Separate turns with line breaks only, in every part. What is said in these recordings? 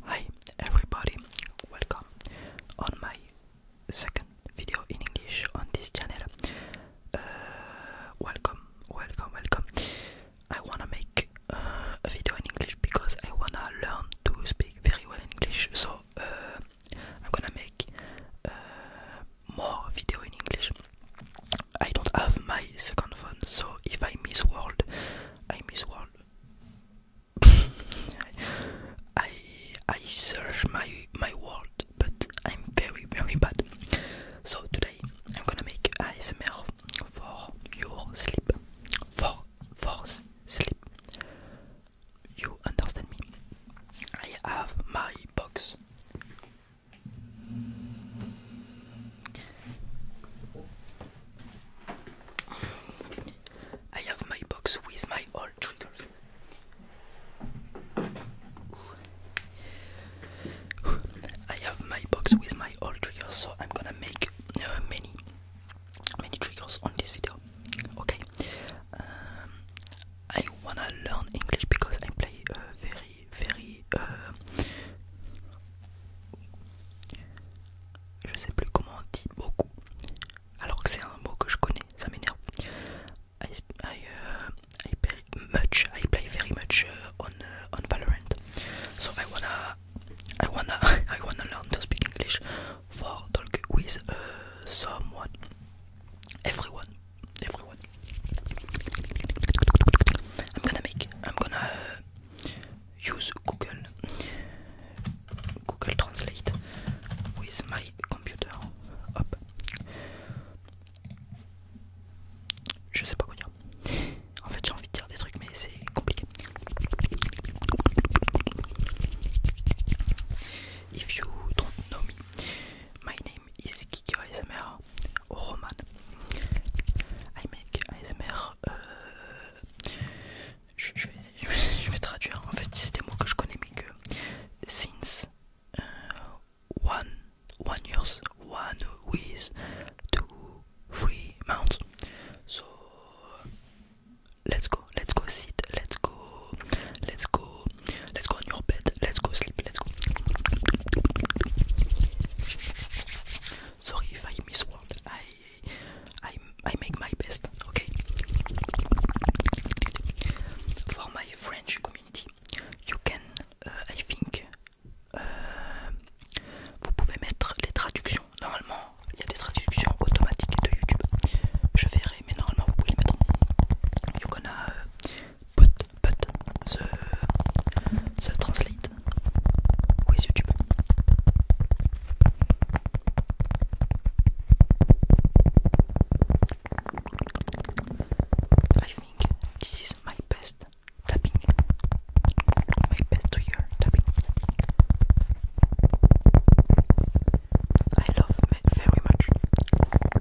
Hi everybody, welcome on my second video in English on this channel. Uh, welcome, welcome, welcome. I wanna make uh, a video in English because I wanna learn to speak very well in English. So uh, I'm gonna make uh, more video in English. I don't have my second phone, so if I miss world, I miss world. I I search my my world, but I'm very very bad. So today I'm gonna make ASMR for your sleep, for for sleep. You understand me? I have my box I have my box with my old triggers. I have my box with my old triggers, so I'm gonna make uh, many, many triggers on this video. Okay. Um, I wanna learn English because I play uh, very very, very. Euh, je sais plus comment on dit beaucoup. Alors que c'est un mot que je connais, ça m'énerve. I, I, euh, play much. I play very much euh, on on Valorant. So I wanna, I wanna, I wanna learn to speak English for talk with uh, someone, everyone. Je I'm gonna make, uh, use Google, Google Translate with my computer. je Je sais pas quoi dire. En fait, j'ai envie de dire des trucs, mais c'est compliqué. If you don't know my Roman. I make euh, je, vais, traduire. En fait, c'est des mots que je connais, mais que since euh, one one years one with two three months. So let's go, let's go sit, let's go, let's go let's go on your bed, let's go sleep, let's go. Sorry if I miss word, I, I, I make my best, okay? For my French community, you can, uh, I think, uh, vous pouvez mettre les traductions. Normalement, il y a des traductions automatiques de YouTube. Je verrai, mais normalement, vous pouvez les mettre. You gonna but but the the translate I think this is my best tapping, my best ear tapping. I love very much.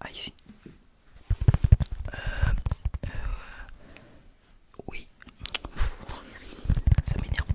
Ah ici. Euh, euh, oui. Ça m'énerve.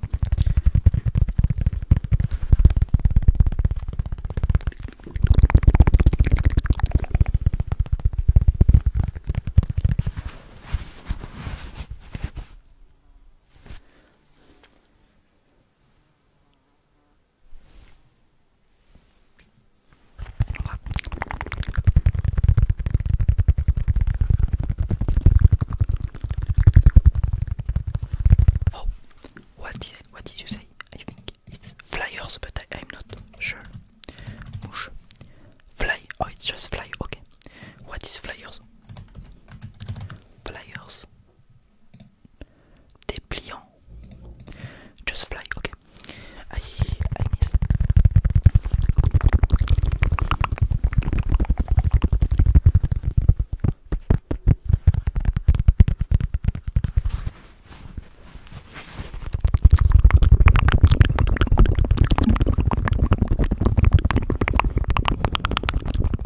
Oh, what is what did you say? I think it's flyers, but I, am not sure. fly. Oh, it's just fly. Okay. What is flyers? Flyers. dépliant. Just fly, ok. I, I miss.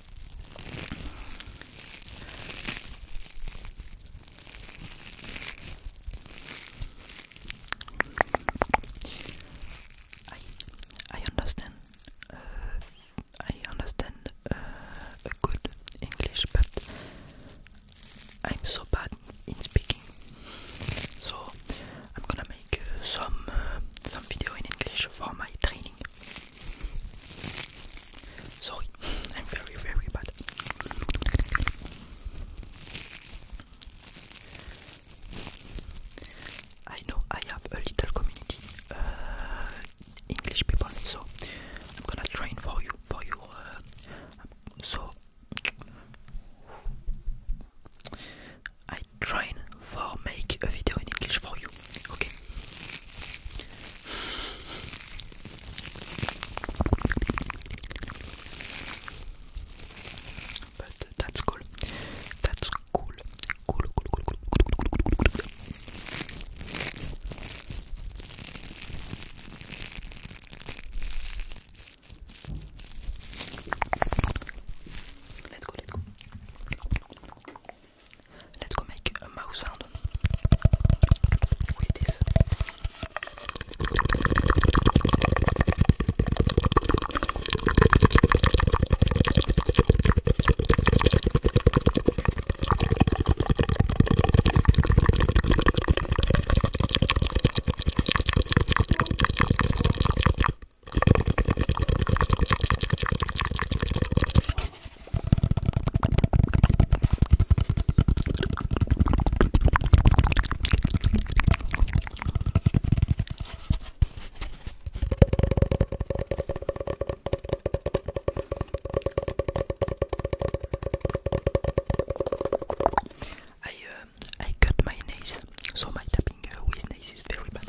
I understand uh, I understand uh, a good English, but I'm so bad in speaking. So I'm gonna make uh, some some video in English for my training. Sorry, I'm very, very bad. I know I have a little community, uh, English people, so I'm gonna train for you, for you. Uh, um, so I train for make a video in English for you. Okay. But that's cool. That's cool. Cool, cool, cool, cool, cool, cool, cool, cool, cool. Let's go, let's go. Let's go make a mouse sound with this. I um, I cut my nails, so my tapping uh, with nails is very bad.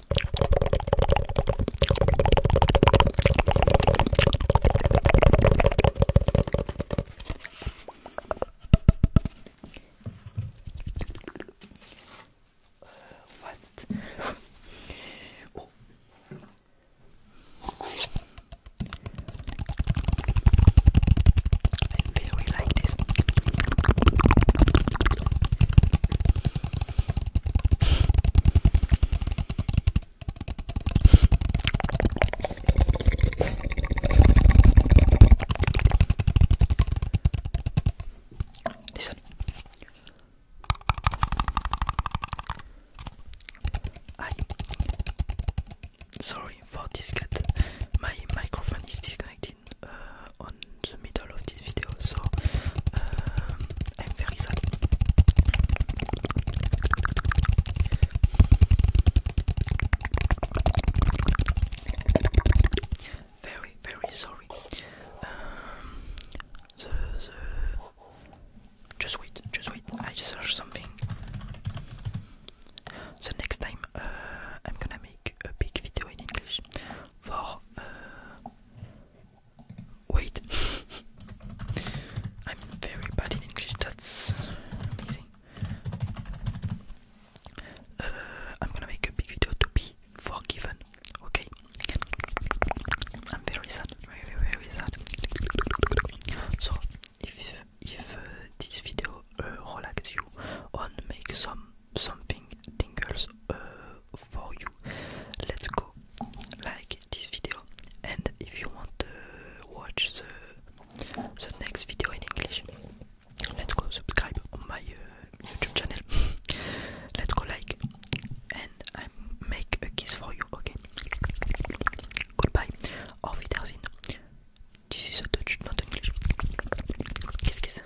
what? oh. I feel we like this. Listen. I sorry for this cut. My microphone is disconnected uh, on of this video, so uh, I'm very Very, sorry. Um, just wait, just wait. I search something. So next time uh, I'm gonna make a big video in English for uh, Wait. I'm very bad in English, that's amazing. Uh, I'm gonna make a big video to be forgiven, okay? I'm very sad, very, very sad. So, if if uh, this video uh, relax you, on make some something tingles uh, for you. Let's go. Like this video, and if you want to watch the the next video in English, let's go subscribe on my uh, YouTube channel. let's go like, and I make a kiss for you. Okay. Goodbye. Auf Wiedersehen. This is a Dutch, not English. Kiss, kiss.